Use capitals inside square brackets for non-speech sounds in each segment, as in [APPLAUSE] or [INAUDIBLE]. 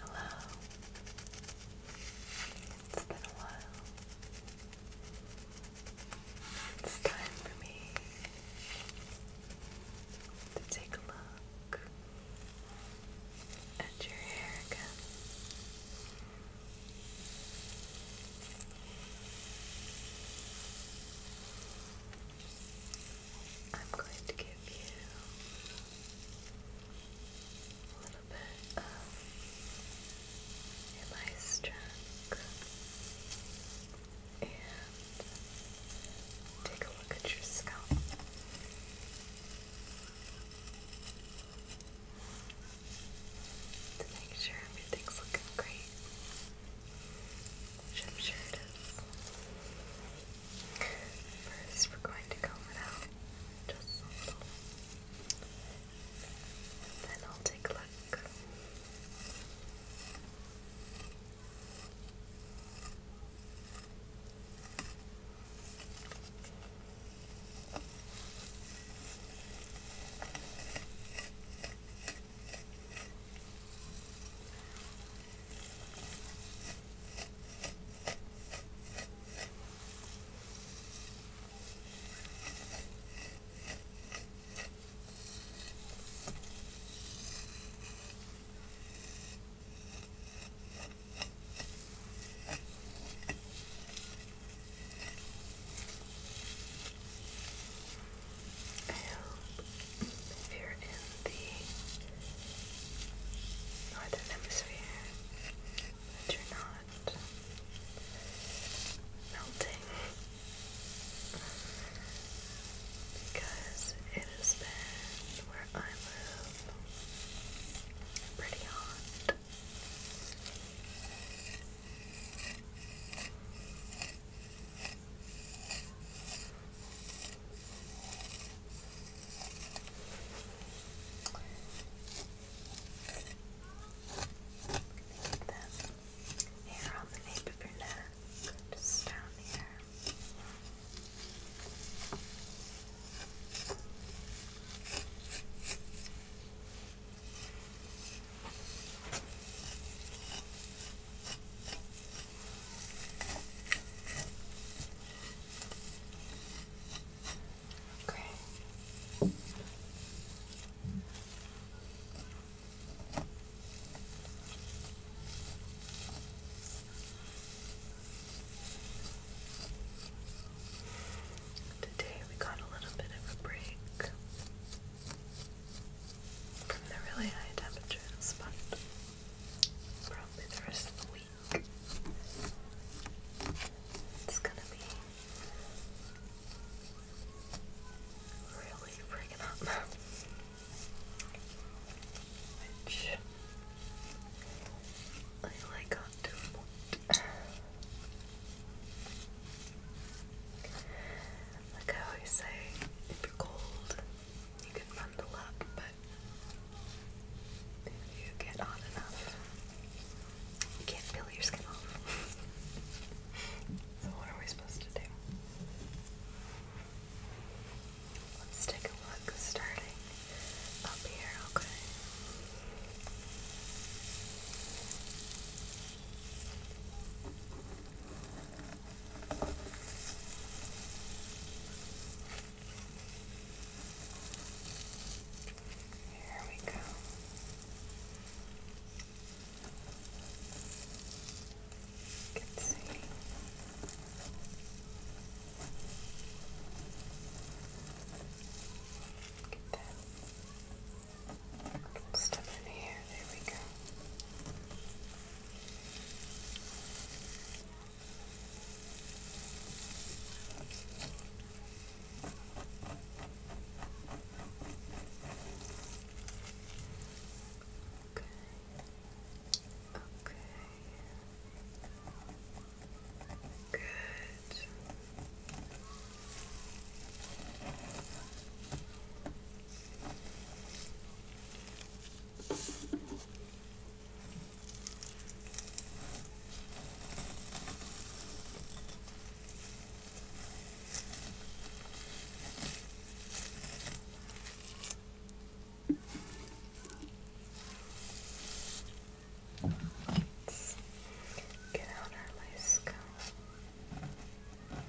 Hello. It's been a while. It's time for me to take a look at your hair again. I'm going to give you a little bit of your lice and take a look at your scalp. To make sure everything's looking great, I'm sure it is. First, we're going to comb it out just a little. then I'll take a look. I you're in the northern hemisphere, but you're not melting because it has been where I live pretty hot. Take the hair on the nape of your neck, just down here. Good. Okay. Today we got a little bit of a break from the really high temperatures, probably the rest of the week. It's gonna be really freaking up. Which I like on to Like I always say, if you're cold, you can bundle up, but if you get on enough, you can peel your skin off. [LAUGHS] so what are we supposed to do? Let's take a look, starting up here, Okay. Here we go. You can see. Get that little in here. There we go. Okay. Okay. Good. Okay. Let's get out our lace comb. Okay.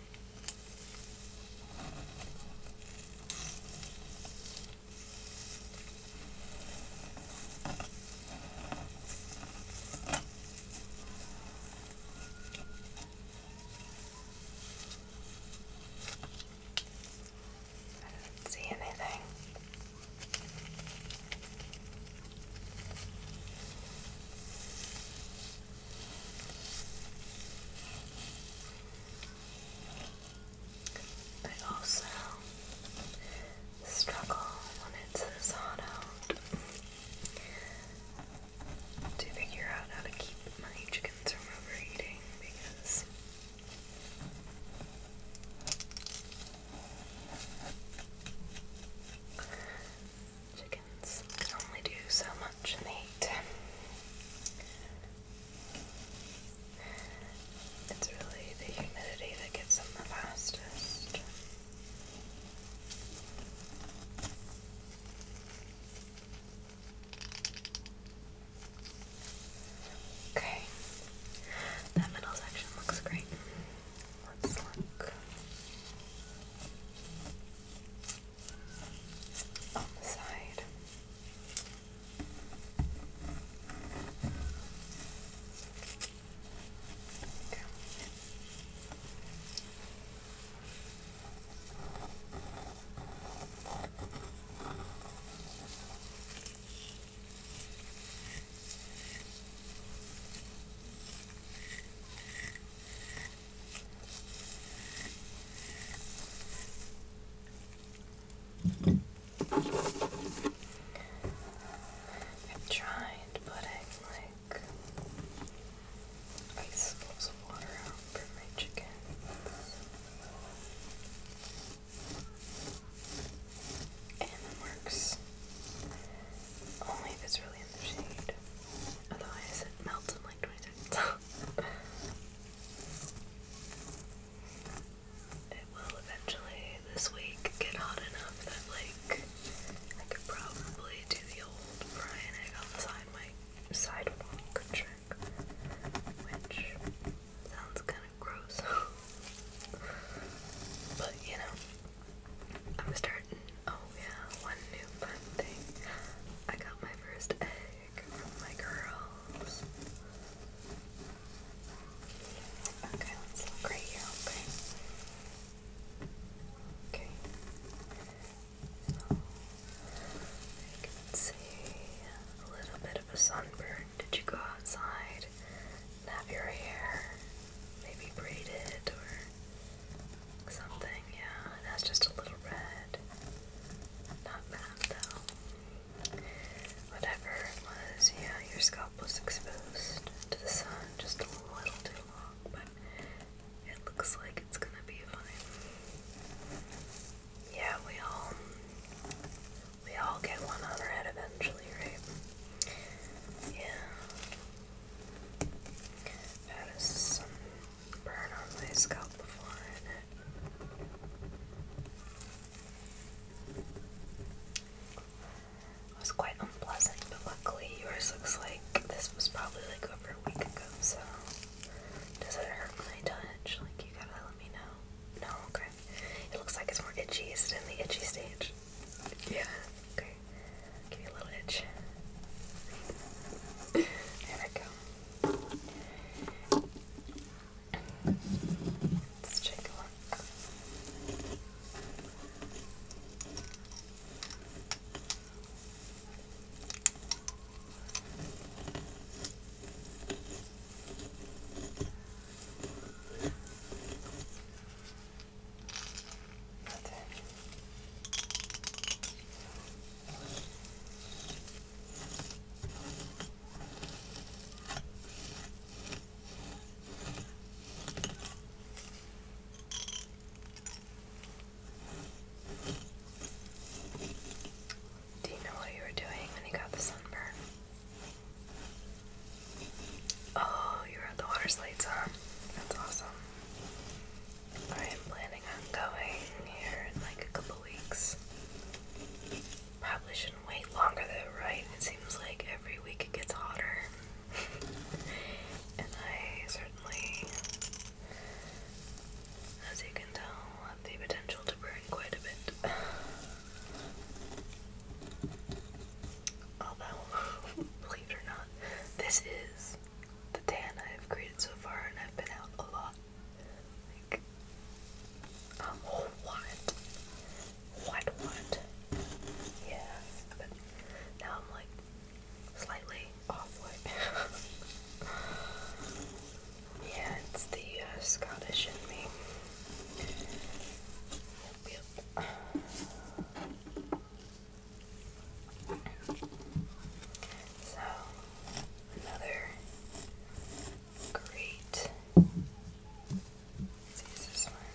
I didn't see anything. I also struggle when it's says hot out to figure out how to keep my chickens from overeating because Chickens can only do so much in the heat. It's really the humidity that gets them the fastest. Okay, that middle section looks great. Let's look on the side. Okay. Okay. I'm trying to put it like ice slips of water out my chicken. And it works. Only if it's really in the shade. Otherwise it melts in like 20 seconds. [LAUGHS] It will eventually this week get hot enough that like I could probably do the old fry an egg my sidewalk trick, which sounds kind of gross, [LAUGHS] but you know, I'm starting Oh yeah, one new fun thing. I got my first egg from my girls. Okay, let's look right here, okay? Okay. I can see a little bit of a sunburn. Did you go outside have your hair maybe braided or something, yeah. That's just a little red. Not bad though. Whatever it was, yeah, your scalp was exposed to the sun just a little too long, but it looks like it's gonna be fine. Yeah, we all we all get one on our head eventually, right? Yeah. That is some burn on my scalp before in it. It was quite unpleasant, but luckily yours looks like this was probably like over a week ago, so does it hurt when I touch? Like you gotta let me know. No, okay. It looks like it's more itchy. Is it in the itchy stage? Yeah, okay. Give you a little itch. there we go. Let's take a look. That's do you know what you were doing when you got the sunburn? Oh, you had the water slides on. That's awesome. I am planning on going here in like a couple weeks. Probably shouldn't wait longer though, right? It seems like every week it gets hotter. [LAUGHS] and I certainly, as you can tell, have the potential to burn quite a bit. [SIGHS] Although, [LAUGHS] believe it or not, this is the tan I have created so far, and I've been out a lot. Like, um, what? What, what? Yeah, but now I'm like slightly off [LAUGHS] yeah, it's the uh, Scottish in me. yep. So, another great. let this one.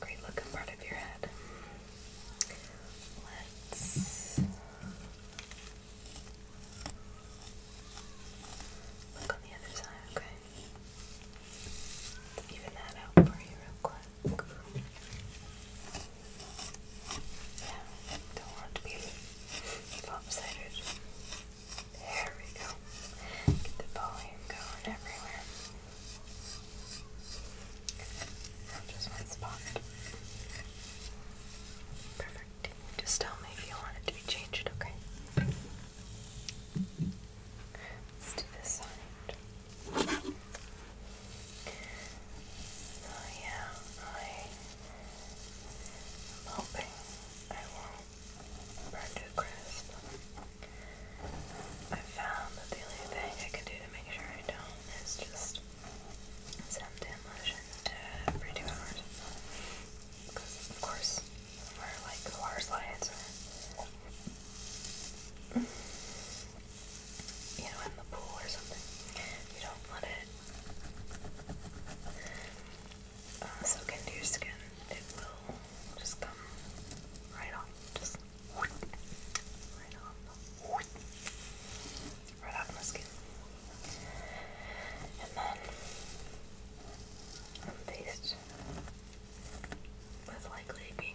Great looking part of your head. Let's look on the other side, okay? even that out for you real quick look. Yeah, don't want to be lopsided. There we go. Get the volume going everywhere. Just one spot. Perfect. Just tell me if you want it to be changed, okay? Let's do this side. So yeah, I'm hoping I won't burn to a crisp. I found that the only thing I can do to make sure I don't is just suntan lotion every two hours. Because of course, we're like horse lions you know, in the pool or something. You don't let it uh, soak into your skin. It will just come right off. Just right off. Right off my skin. And then I'm faced with likely being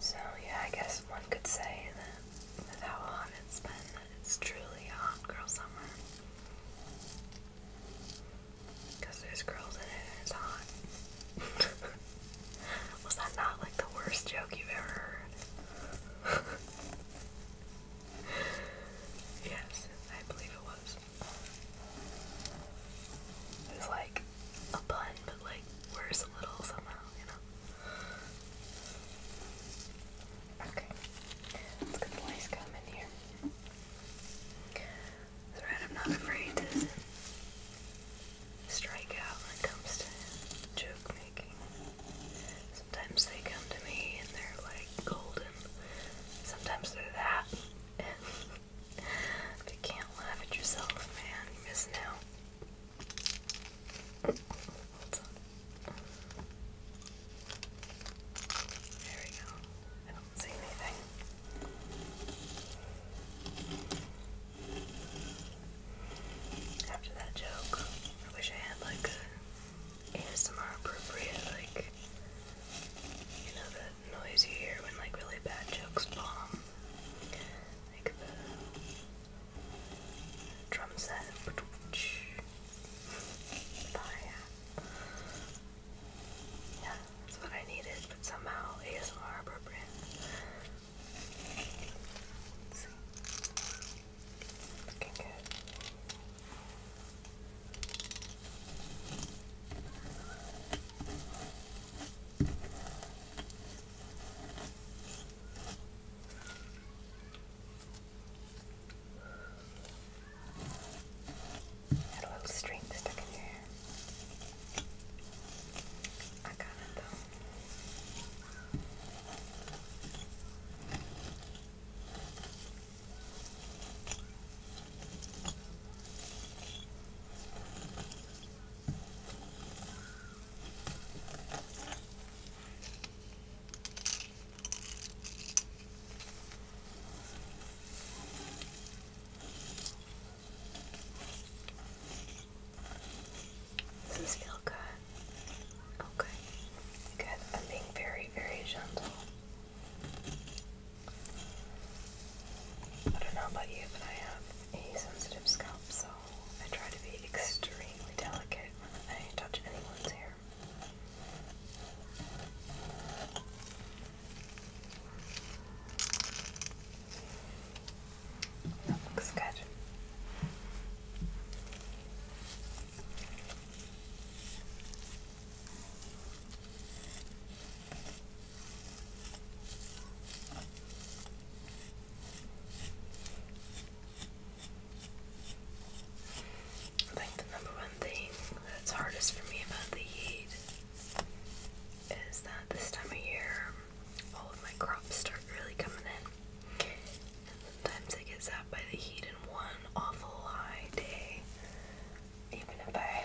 So, yeah, I guess one could say that with how hot it's been, that it's truly a hot girl summer. Because there's girls in it and it's hot. [LAUGHS] Was that not like the worst joke you've ever heard? [LAUGHS] yes, I believe it was. It was like a pun, but like worse a little somehow, you know. Okay, let's get the lice gum here. That's I'm not afraid to strike out when it comes to joke making. Sometimes they come to me and they're like golden. Sometimes they're that. [LAUGHS] if you can't laugh at yourself, man, you're missing out. There we go. I don't see anything. After that joke, I wish I had like a ASMR appropriate, like, you know, the noise you hear when like really bad jokes bomb like the drum set, Yeah, that's what I needed, but somehow ASMR appropriate. let Got a little string stuck in your hair. I got it though. Does this feel good? Okay. Good. I'm being very, very gentle. I don't know about you, but I have a sensitive scalp, so I try to be extremely delicate when I touch anyone's hair. That looks good. I think the number one thing that's hardest for me about the heat is that this time of year all of my crops start really coming in. And sometimes I get zapped by the heat in one awful high day. Even if I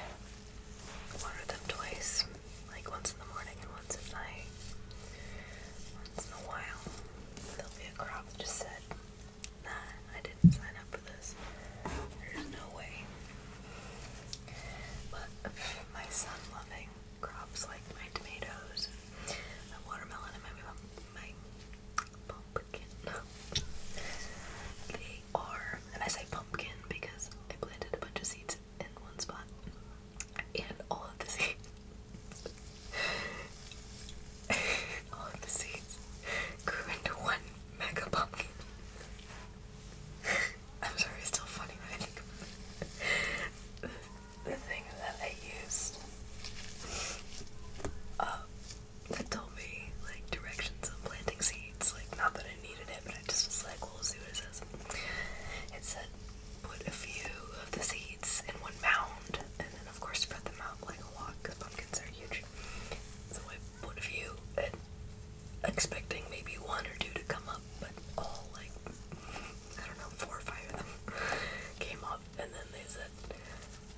water them twice, like once in the morning and once at night. Once in a while, there'll be a crop just said, Nah, I didn't sign up for this. There's no way. But my son loving crops like my tomatoes, my watermelon, and my, my pumpkin. [LAUGHS] They are, and I say pumpkin because I planted a bunch of seeds in one spot. And all of the seeds [LAUGHS] all of the seeds grew into one mega pumpkin. [LAUGHS] I'm sorry, it's still funny when I think about it. The, thing that I used uh, that told me like directions on planting seeds, like not that I needed it, but I just was like, well, let's see what it says. It said, put a few of the seeds in one mound, and then of course spread them out like a lot, because pumpkins are huge. So I put a few, and expecting maybe one or two to come up, but all like, I don't know, four or five of them [LAUGHS] came up, and then they said,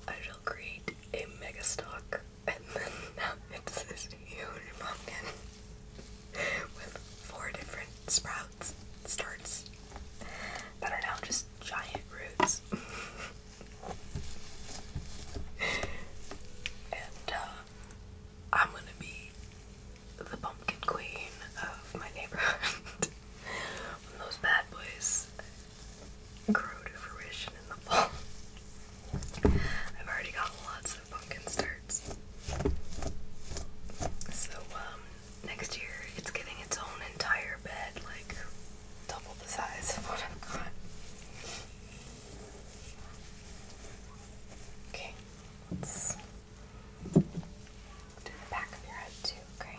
I shall create a mega stock, and then [LAUGHS] now it's this huge pumpkin. [LAUGHS] with four different sprouts, starts that are now just giant roots. [LAUGHS] and uh, I'm gonna be the pumpkin queen of my neighborhood [LAUGHS] when those bad boys grow to fruition in the fall. I've already got lots of pumpkin starts. So, um, next year it's getting its own entire bed, like double the size of what I've got. Okay, let the back of your head too, Okay.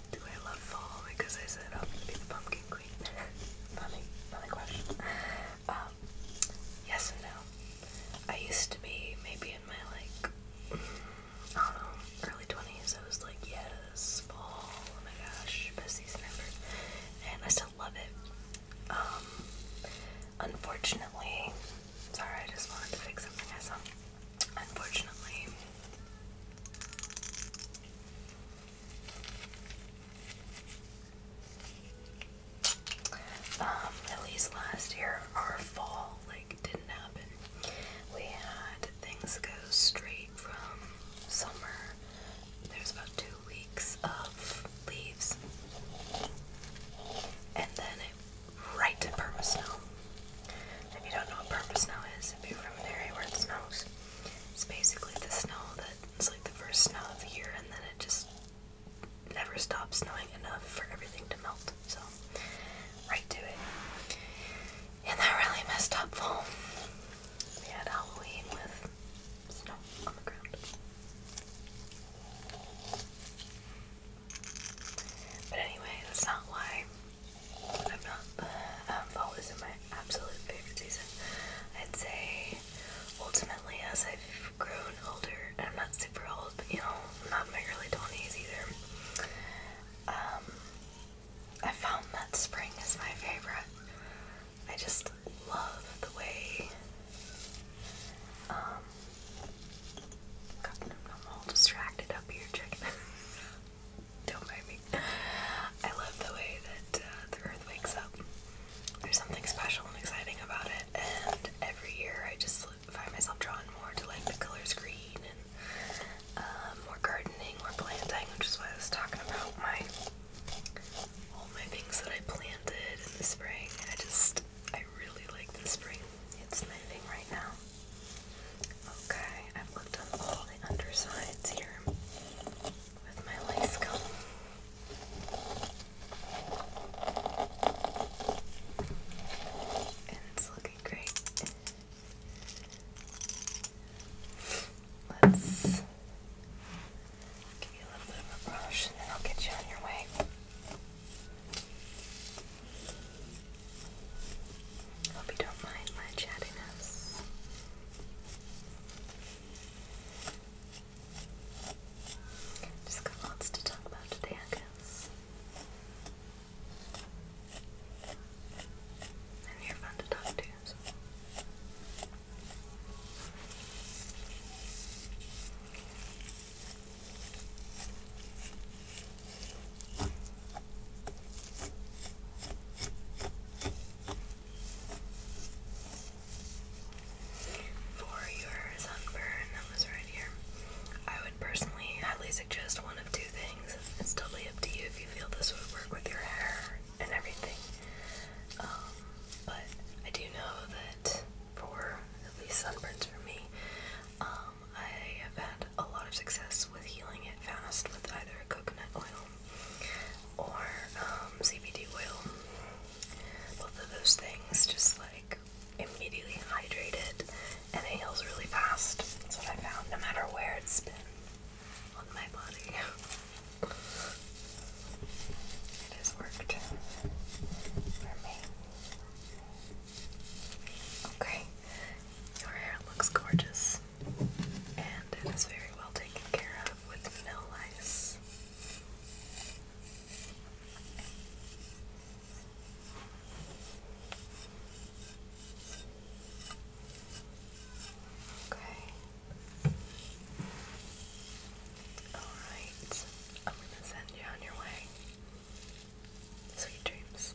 Do I love fall because I set up to be the pumpkin queen? [LAUGHS] funny, funny question. Um, yes and no. I used to be maybe in my like I don't know, early twenties. I was like, yes, fall. Oh my gosh, best season and I still love it. Um, unfortunately, sorry, I just wanted to fix something I saw. Unfortunately, um, at least last year, our fall like didn't happen. We had things go straight from summer. There's about two weeks of leaves, and then it right to perma snow. If you don't know what purple snow is, if you're from an area where it snows, it's basically the snow that it's like the first snow of the year and then it just never stops snowing enough for everything to melt. So, right to it. And that really messed up fall. We had Halloween with snow on the ground. But anyway, that's not why I'm not, um, fall is my absolute favorite season. I'd say, ultimately, as I've grown older, and I'm not super old, but you know, I'm not in my early 20s either. Um, I found that spring is my favorite. I just love the way, um, I'm all distracted up here checking [LAUGHS] Don't mind me. I love the way that uh, the earth wakes up. There's something special and exciting about it, and every year I just find myself drawn more to like the colors green and um, more gardening, more planting, which is why I was talking about my all my things that I planted in the spring. I just I really like the spring. It's my thing right now. Okay, I've looked on all the undersides here with my lace comb. And it's looking great. Let's give you a little bit of a brush and then I'll get you on your way. Hope you don't mind my chattiness. Just got lots to talk about today, I guess. And you're fun to talk to, for your sunburn that was right here, I would personally highly suggest one of two things. It's totally up to you if you feel this would work with your hair and everything. Um, but I do know that for at least sunburns for me, um, I have had a lot of success with healing it fast with either coconut oil or um, CBD oil. Both of those things just like immediately hydrated and heals really fast. That's what I found no matter where it's been on my body. [LAUGHS] It has worked for me. Okay, your hair looks gorgeous and it is very well taken care of with mill lice. Okay. Alright. I'm gonna send you on your way. Sweet dreams.